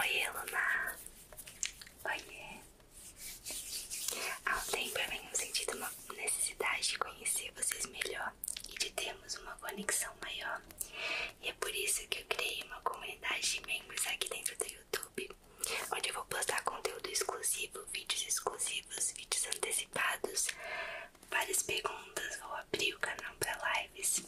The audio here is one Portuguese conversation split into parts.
Oi, Luna! Oiê! Há um tempo eu tenho sentido uma necessidade de conhecer vocês melhor e de termos uma conexão maior. E é por isso que eu criei uma comunidade de membros aqui dentro do YouTube, onde eu vou postar conteúdo exclusivo, vídeos exclusivos, vídeos antecipados, várias perguntas, vou abrir o canal para lives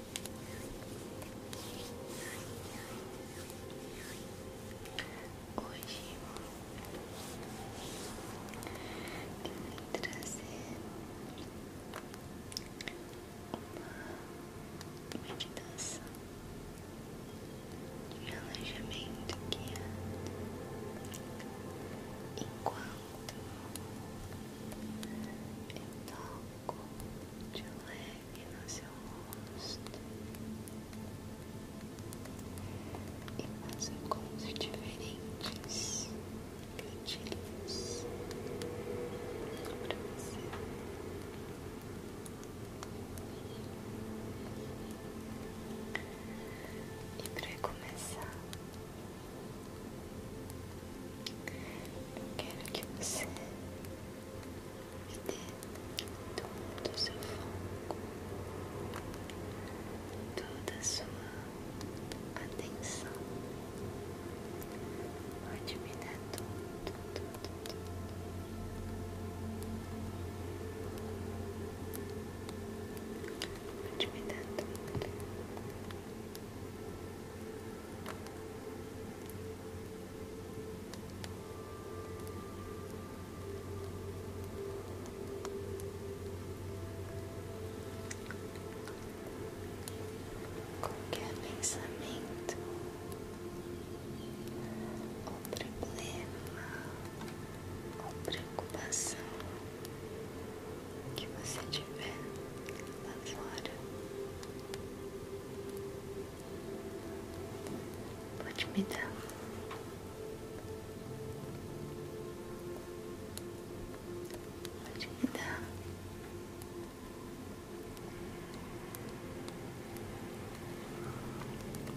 Hoje eu vim trazer uma meditação de relaxamento que enquanto eu toco de leve e no seu rosto e faça cores diferentes gatilhos para você. E para começar, eu quero que você e todo do seu foco toda a sua atenção. Pode tudo, tudo, tudo. Qualquer pensamento ou problema ou preocupação que você tiver lá fora. Pode me dar. Pode me dar.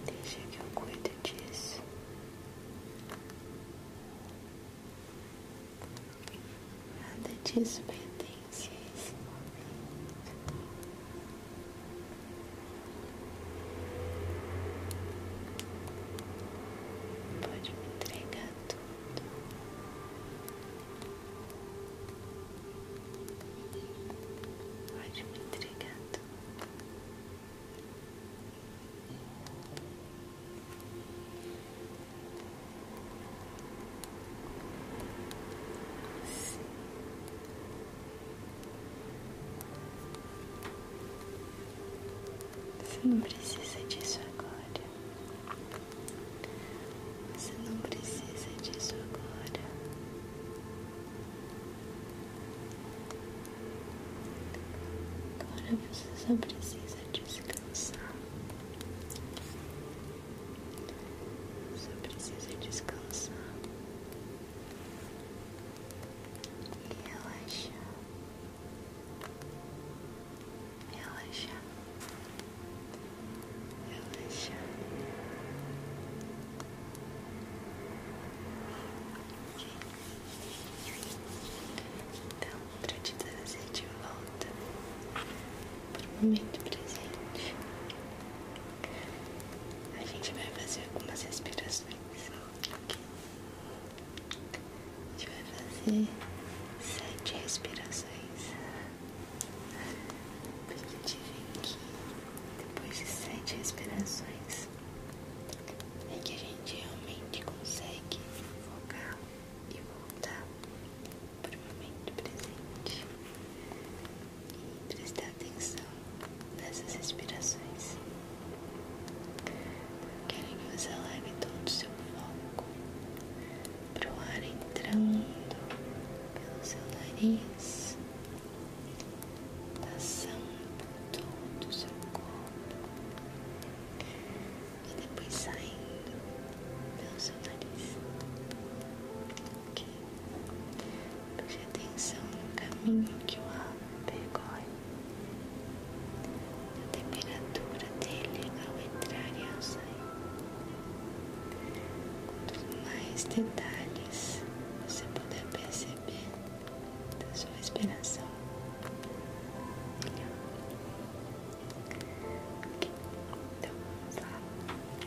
Deixa que eu cuido disso. Nada disso vai ter. Pode me entregar tudo. Pode me entregar tudo. Pode me entregar tudo. Você não precisa disso agora. Você não precisa disso agora. Agora você só precisa descansar. Você precisa descansar e relaxar, relaxar, relaxar. Então, pra te trazer de volta Momento presente. A gente vai fazer algumas respirações. A gente vai fazer sete respirações. Perspectiva aqui. Depois de sete respirações é que a gente realmente consegue focar e voltar por um momento presente e prestar atenção nessas respirações. Quero que você leve todo o seu foco para o ar entrando pelo seu nariz, passando por todo o seu corpo e depois saindo pelo seu nariz. Puxe atenção no caminho que o ar percorre. A temperatura dele ao entrar e ao sair. Quanto mais detalhes você puder perceber da sua respiração, melhor. Okay. Então vamos lá.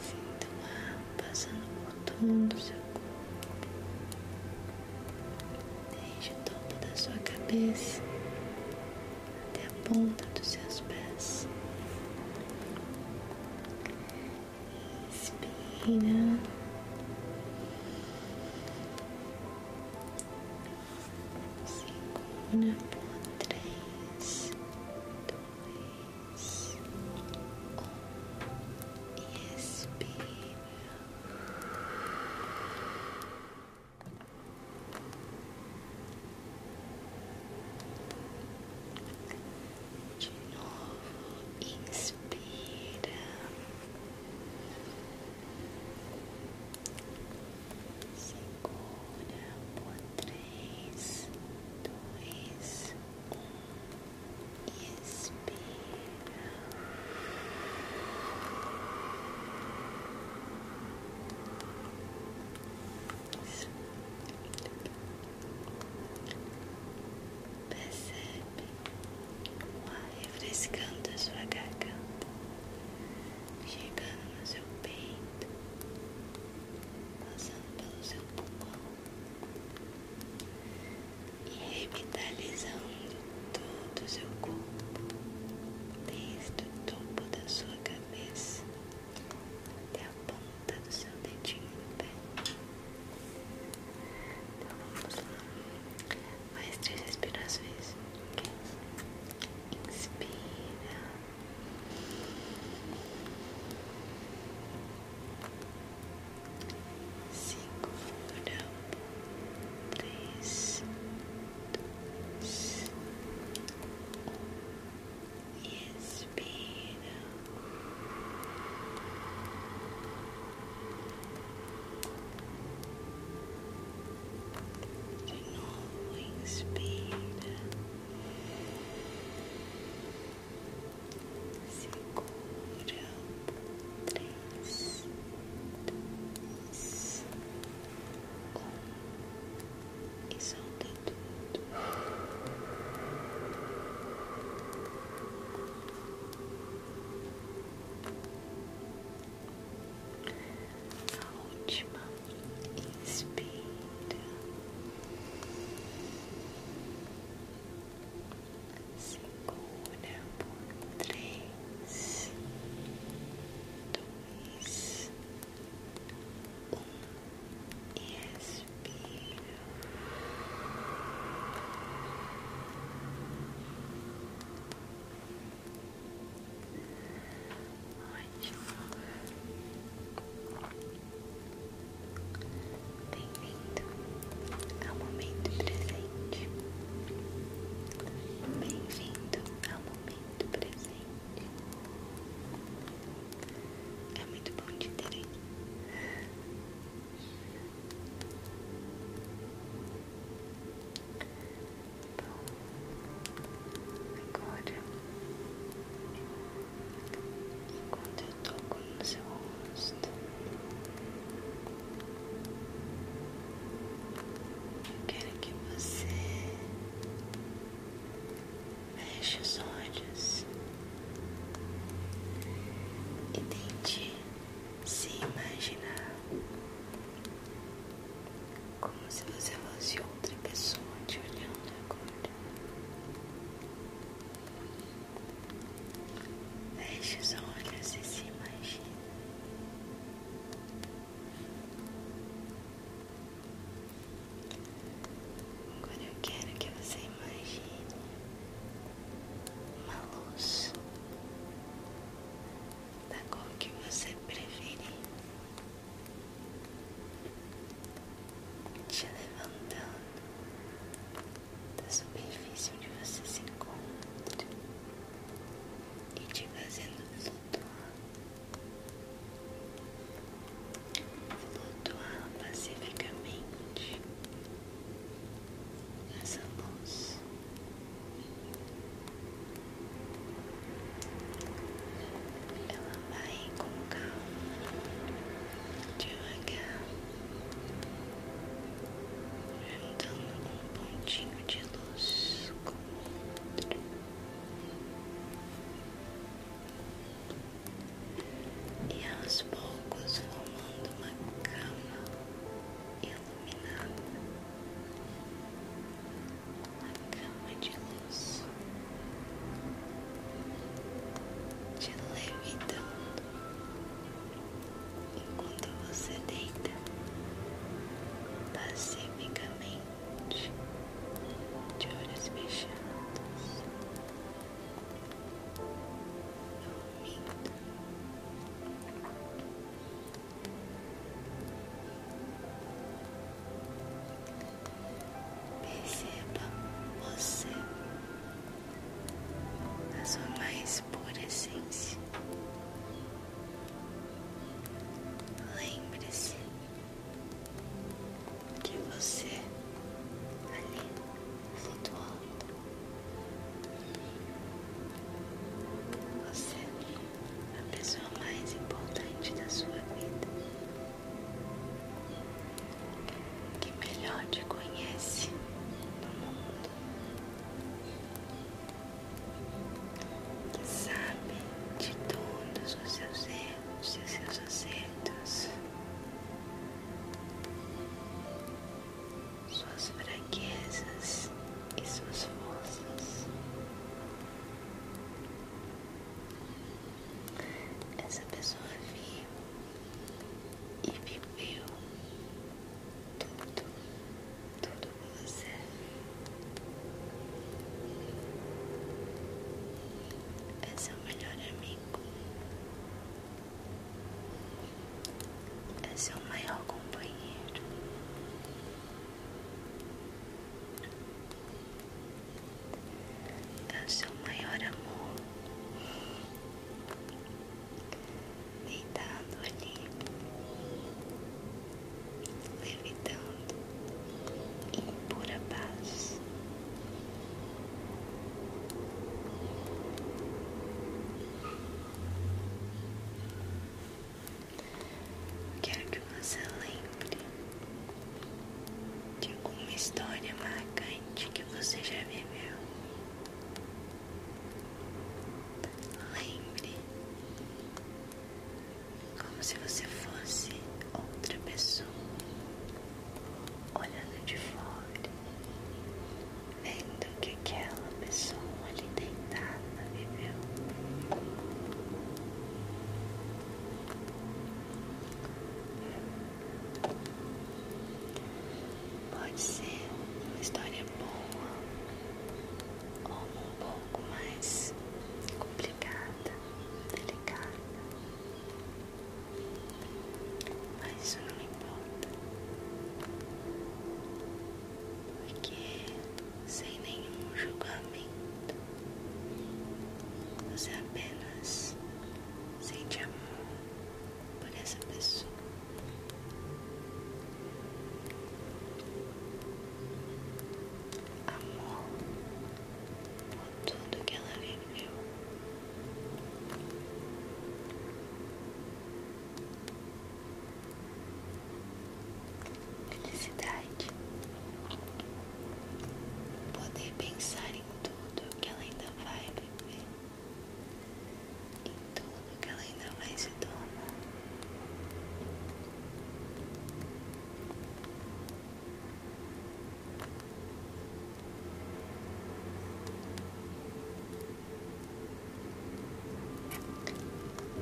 Sinta o ar passando por todo o seu corpo, desde o topo da sua cabeça até a ponta dos seus pés. Inspira. Segura por três, dois e expira. De novo, inspira. Segura por três, dois, e expira. Percebe o ar refrescando a sua garganta, chegando no seu peito, passando pelo seu pulmão e revitalizando todo o seu corpo, desde o topo da sua cabeça até a ponta do seu dedinho do pé. Então vamos lá, mais três respirações. Inspira cinco fundo três dois um e expira de novo inspira segura três, dois, um e solta tudo. A última inspira segura por três, dois, um e expira. Ótimo. Bem-vindo ao momento presente. Bem-vindo ao momento presente. É muito bom de ter Bom, agora enquanto eu toco no seu rosto. Eu quero que você feche os olhos e tente se imaginar como se você fosse outra pessoa te olhando agora. Feche os olhos e se imagine. Agora eu quero que você imagine uma luz da cor que você preferir te levantando da superfície onde você se encontra e te fazendo flutuar, flutuar pacificamente essa luz ela vai com calma, devagar, juntando um pontinho de luz com E aos poucos formando uma cama iluminada, uma cama de luz olhos te levitando enquanto você deita pacificamente de olhos fechados, Perceba você a sua mais pura essência. Lembre-se que você ali flutuando. Você é a pessoa mais importante da sua vida que melhor te conhece no mundo, que sabe de todos os seus erros e seus acertos, suas fraquezas e suas forças. Essa pessoa viu e viveu tudo, tudo com você. É seu melhor amigo, é seu maior companheiro é o seu maior amor deitado ali, levitando em pura paz. Quero que você lembre de alguma história marcante que você já viveu. Lembre como se você fosse outra pessoa olhando de fora, vendo que aquela pessoa ali deitada viveu. Pode ser uma história boa ou um pouco mais complicada, delicada, mas isso não importa, porque sem nenhum julgamento. Você apenas Sente amor por essa pessoa. Amor por tudo que ela viveu. Felicidade. Poder pensar em tudo que ela ainda vai viver, em tudo que ela ainda vai se tornar.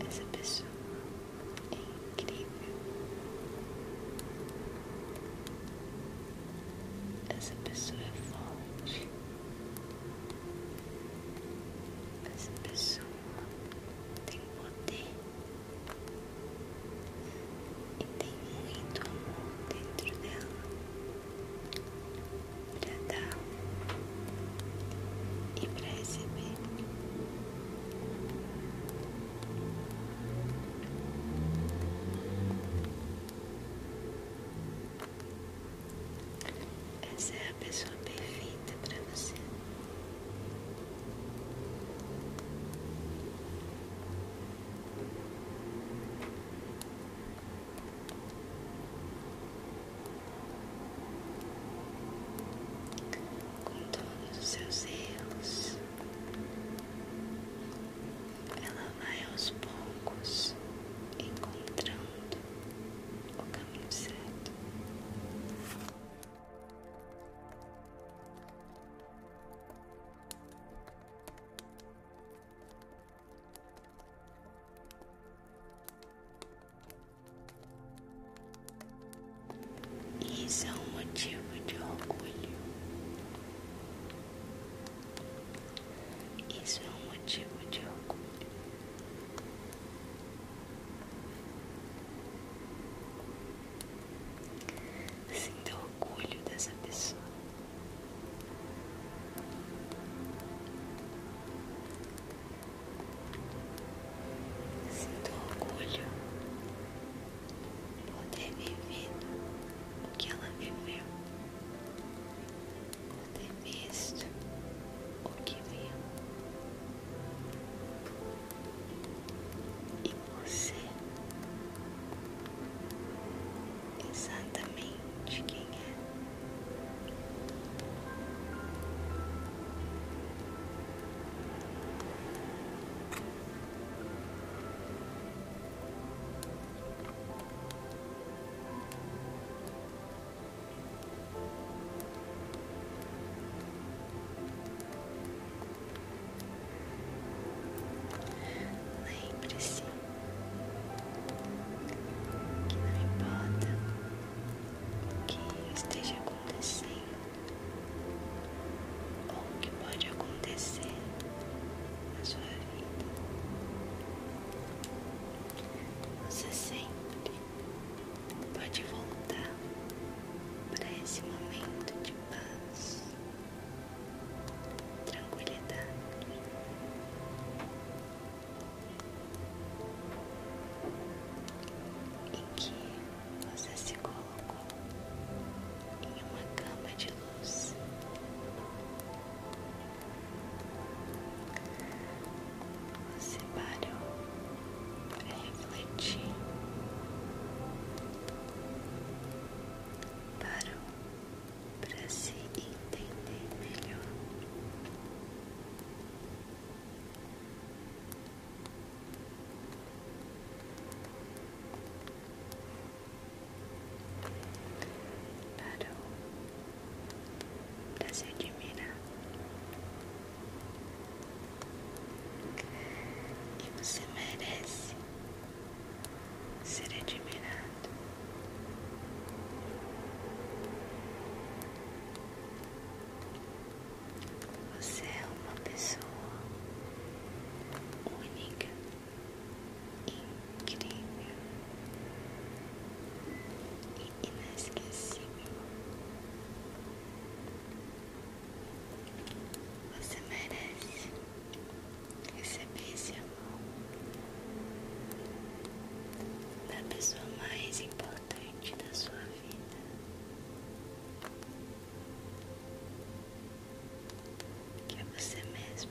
Essa pessoa é incrível. Essa pessoa é forte. Essa pessoa tem poder e tem muito amor dentro dela para dar e para receber. Essa é a pessoa perfeita para você. Com todos os seus erros, ela vai aos poucos encontrando o caminho certo. Isso é um motivo de orgulho isso é um motivo de orgulho. Sinta orgulho dessa pessoa. Sinto orgulho poder vivido o que ela viveu, poder visto o que viu. E você, exatamente quem é. Lembre-se que não importa o que esteja acontecendo, o que pode acontecer na sua vida. Você sempre pode voltar para esse momento de paz, tranquilidade. Em que você se coloca em uma cama de luz. Você parou para refletir, parou para se entender melhor. Parou para tá se admirar. E você merece ser admirado. Você é uma pessoa única, incrível e inesquecível. Você merece receber esse amor da pessoa mais importante da sua vida que é você mesmo.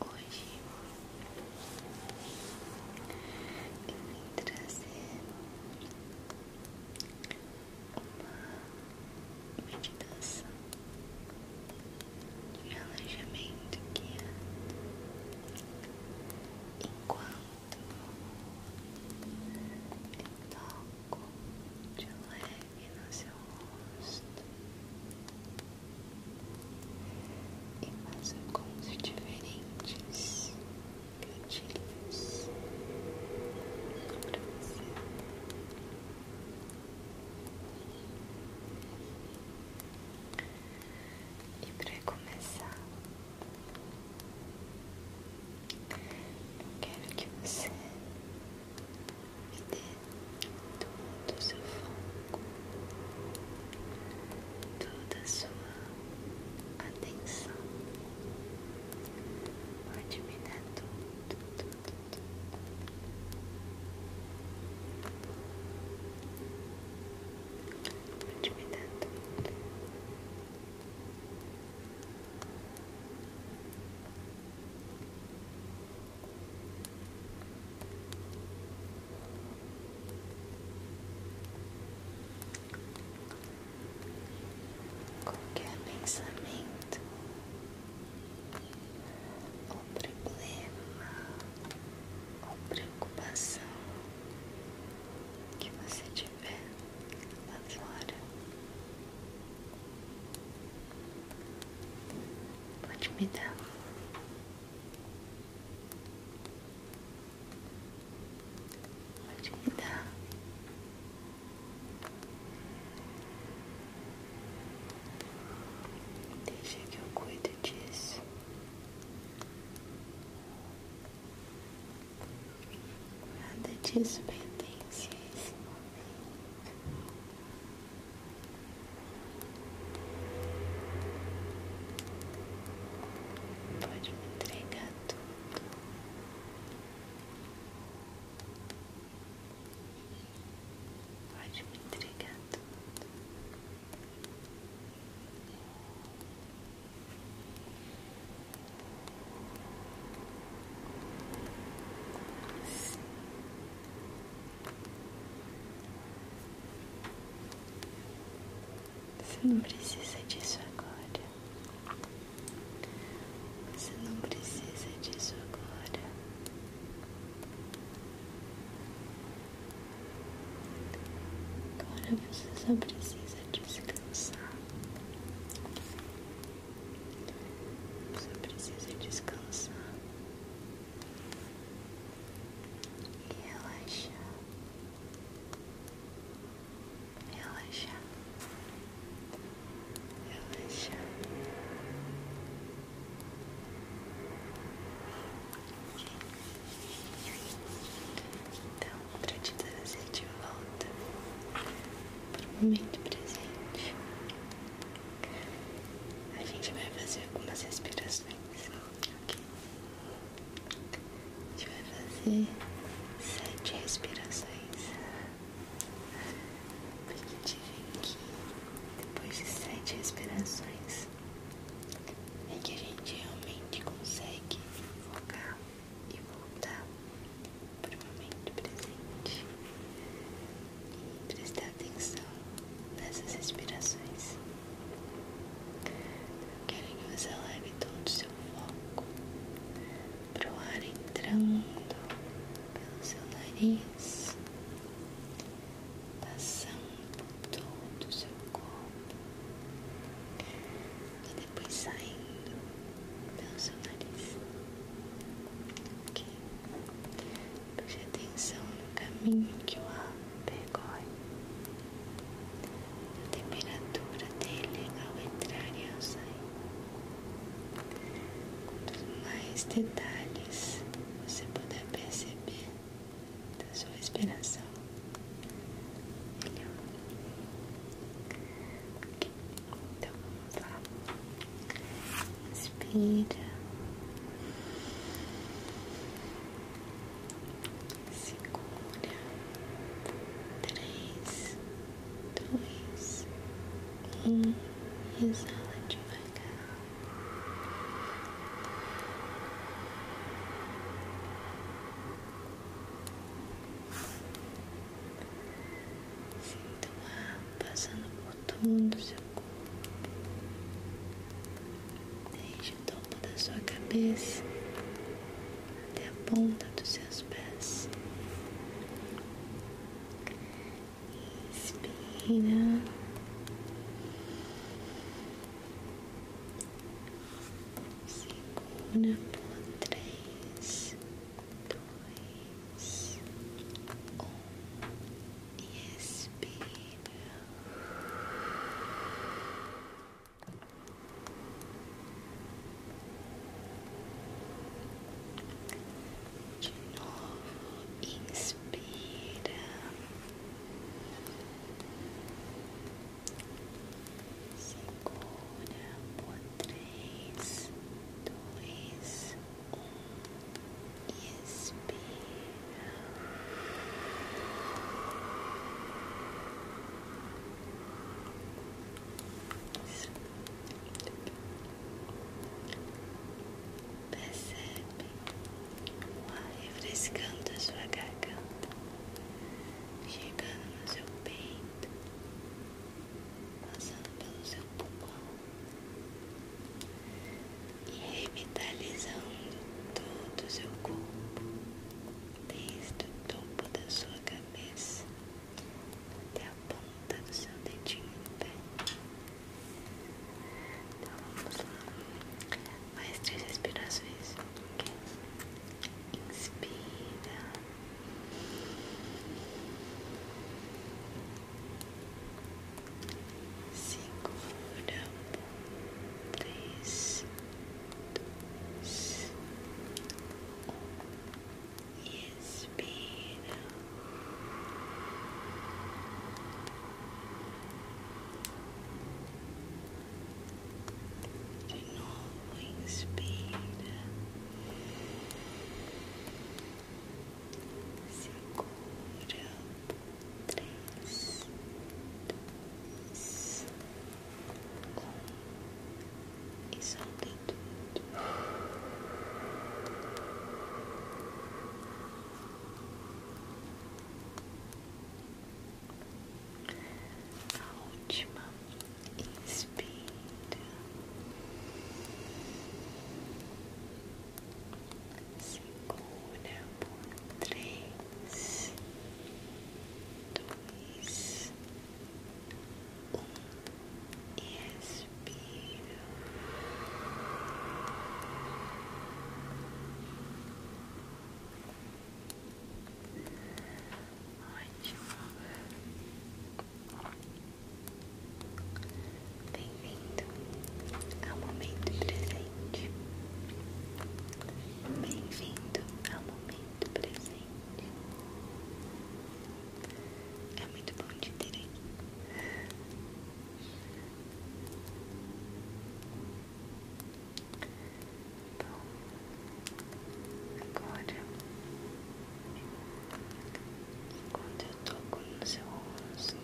Hoje eu vim trazer uma meditação de alojamento que enquanto eu toco de leve e no seu rosto e faça cons diferentes gatilhos para você. E para começar, eu quero que você e todo do seu foco, toda a sua atenção. Pode tudo, tudo, tudo. Qualquer pensamento ou problema ou preocupação que você tiver lá fora Pode me dar. Pode me dar. Deixa que eu cuido disso. Nada disso pertence a esse Pode me entregar Pode me entregar você não precisa disso agora. Você não precisa disso agora. Agora você só precisa descansar. Você precisa descansar e relaxar, relaxar, relaxar. Então, para te trazer de volta para o momento presente, a gente vai fazer algumas respirações, A gente vai fazer sete respirações. Porque que depois de sete respirações é que a gente realmente consegue focar e voltar para o momento presente e prestar atenção nessas respirações. Eu quero leve todo o seu foco para o ar entrando pelo seu nariz, passando por todo o seu corpo e depois saindo pelo seu nariz. Okay. Preste atenção no caminho que o ar percorre. na temperatura dele é ao entrar e ao sair. Quanto mais detalhes você puder perceber da sua respiração, melhor. Então vamos lá. Inspira. Segura. Três, dois, um. Exala devagar. Sinto a passando por todo o seu corpo, desde o topo da sua cabeça até a ponta dos seus pés. Inspira. Segura por três, dois, um e novo, inspira. Segura por três, dois, Expira. Percebe o ar refrescando a sua garganta, chegando no seu peito, passando pelo seu pulmão e revitalizando todo o seu corpo, desde o topo da sua cabeça até a ponta do seu dedinho do pé. Então vamos lá, mais três respirações. Inspira. Segura um, três, dois, um, De novo, inspira segura três dois um e solta tudo a última inspira segura por três, dois, um e expira. Ótimo. Bem-vindo ao momento presente. Bem-vindo ao momento presente. É muito bom te ter aqui. Bom, agora Enquanto eu toco no seu rosto,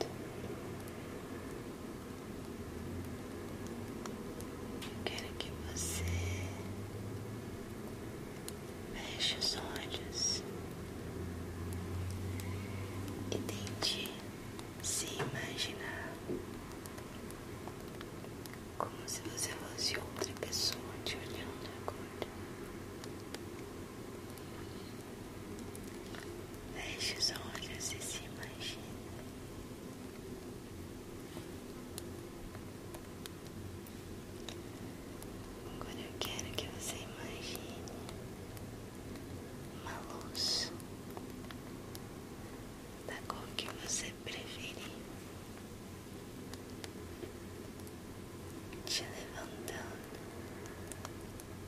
eu quero que você feche os olhos e tente se imaginar como se você fosse outra pessoa te olhando agora. Feche os olhos e se imagine. Agora eu quero que você imagine uma luz da cor que você preferir te levantando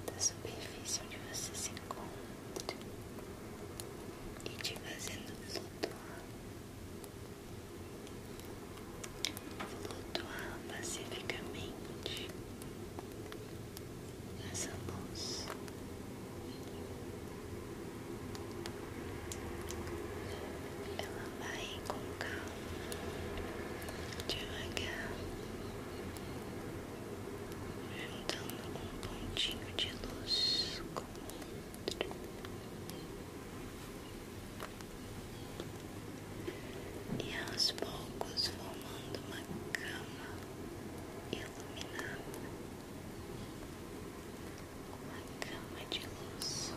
da superfície onde você se encontra e te fazendo flutuar, flutuar pacificamente nessa luz. Ela vai com calma. devagar, juntando um pontinho de luz com outro. E aos um poucos formando uma cama iluminada, uma cama de luz.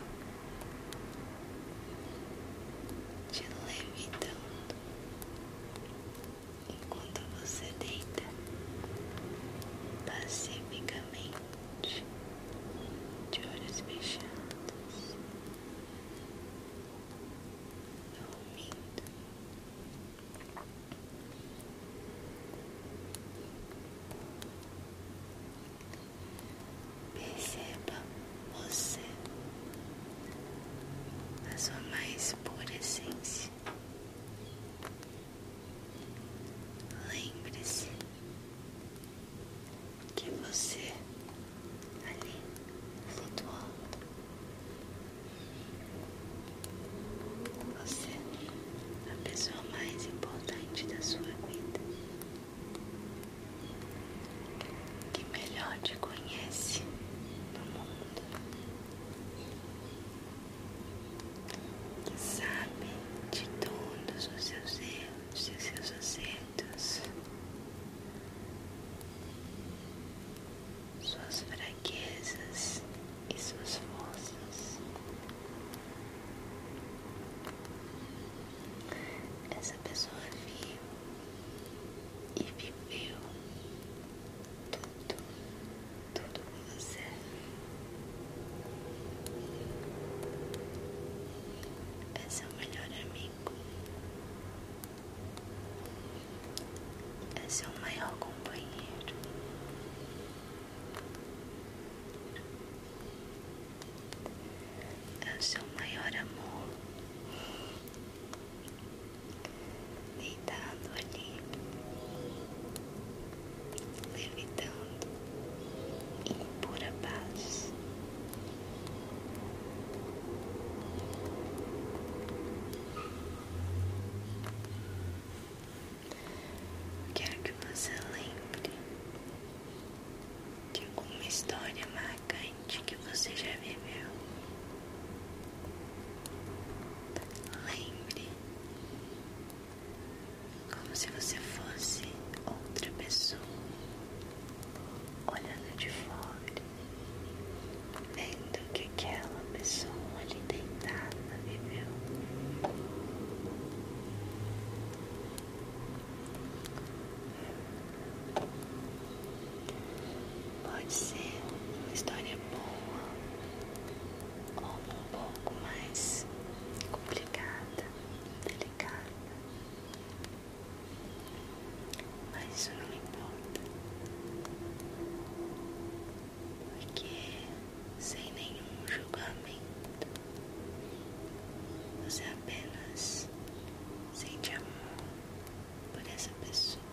te levitando enquanto você deita pacificamente de olhos fechados, Perceba você na sua mais pura essência. Lembre-se que você ali flutua você é a pessoa mais importante da sua vida que melhor te conhece no mundo, que sabe de todos os seus erros e seus acertos, suas fraquezas e suas forças essa pessoa viu e viveu tudo, tudo com você. É seu melhor amigo, é seu maior companheiro. É o seu maior amor deitado ali, levitando em pura paz. Quero que você lembre de alguma história mágica cante que você já viveu. Lembre como se você fosse outra pessoa, olhando de fora, vendo que aquela pessoa ali deitada viveu. Pode ser uma história boa ou um pouco mais complicada, delicada. Mas isso não importa. Porque sem nenhum julgamento você apenas sente amor por essa pessoa.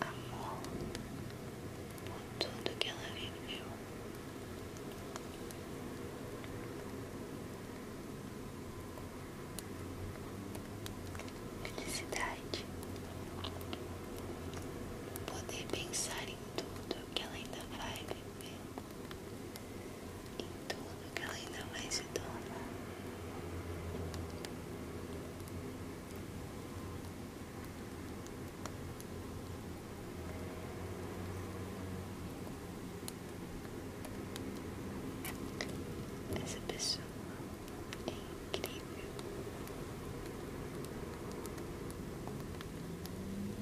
Amor por tudo que ela viveu. Felicidade. Poder pensar em tudo que ela ainda vai viver, em tudo que ela ainda vai se tornar. Essa pessoa é incrível.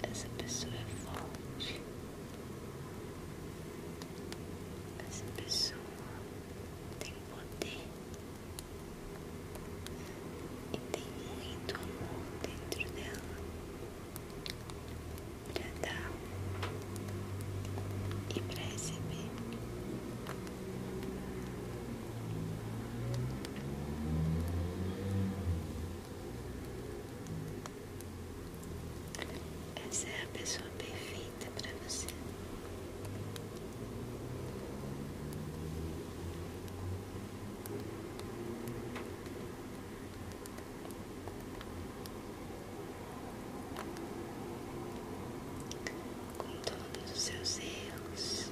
Essa pessoa é forte. Essa pessoa tem poder e tem muito amor dentro dela para dar e para receber. Essa é a pessoa perfeita para você. Com todos os seus erros,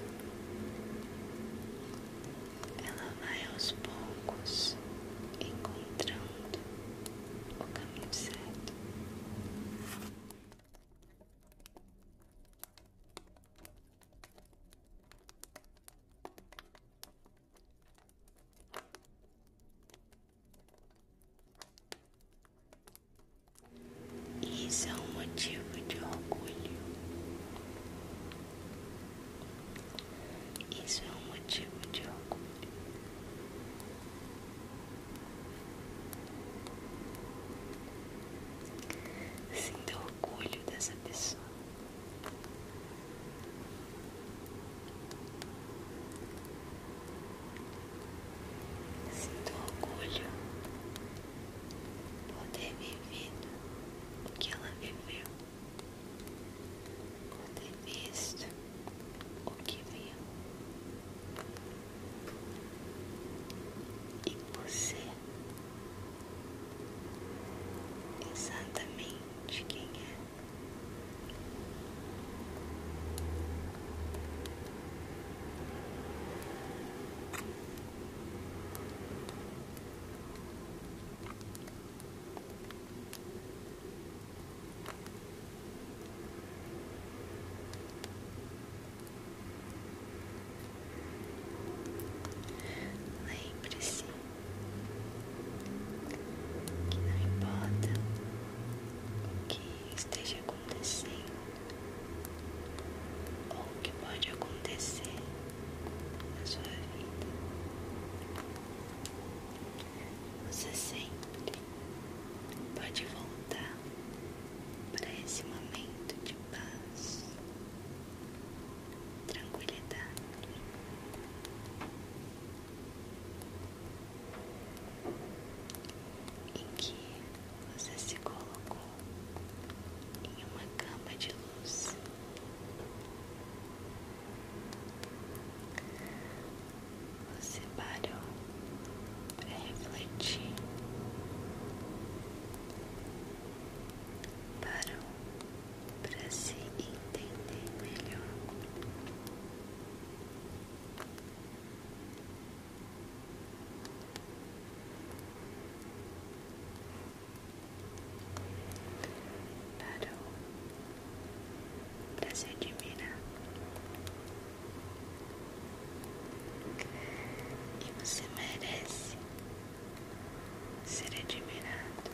ela vai aos poucos encontrando o caminho certo. Isso é um motivo de orgulho isso é um motivo de orgulho. Sinto orgulho dessa pessoa. Sinto orgulho por ter vivido o que ela viveu, por ter é visto o que viu e você exatamente quem é. Lembre-se que não importa o que esteja acontecendo o que pode acontecer na sua vida. Você sempre pode voltar para esse momento de paz, tranquilidade. Em que você se colocou em uma cama de luz. Você parou para refletir, parou para se entender melhor parou, o, para se admirar. E você merece ser admirado.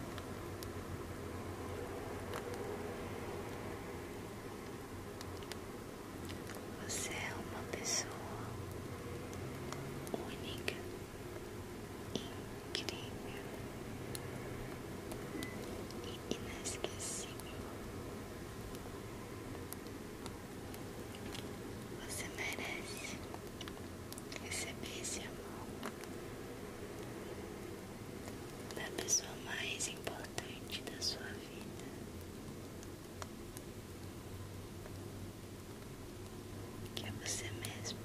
Você é uma pessoa única incrível e inesquecível. Você merece receber esse amor da pessoa mais importante da sua vida que é você mesmo.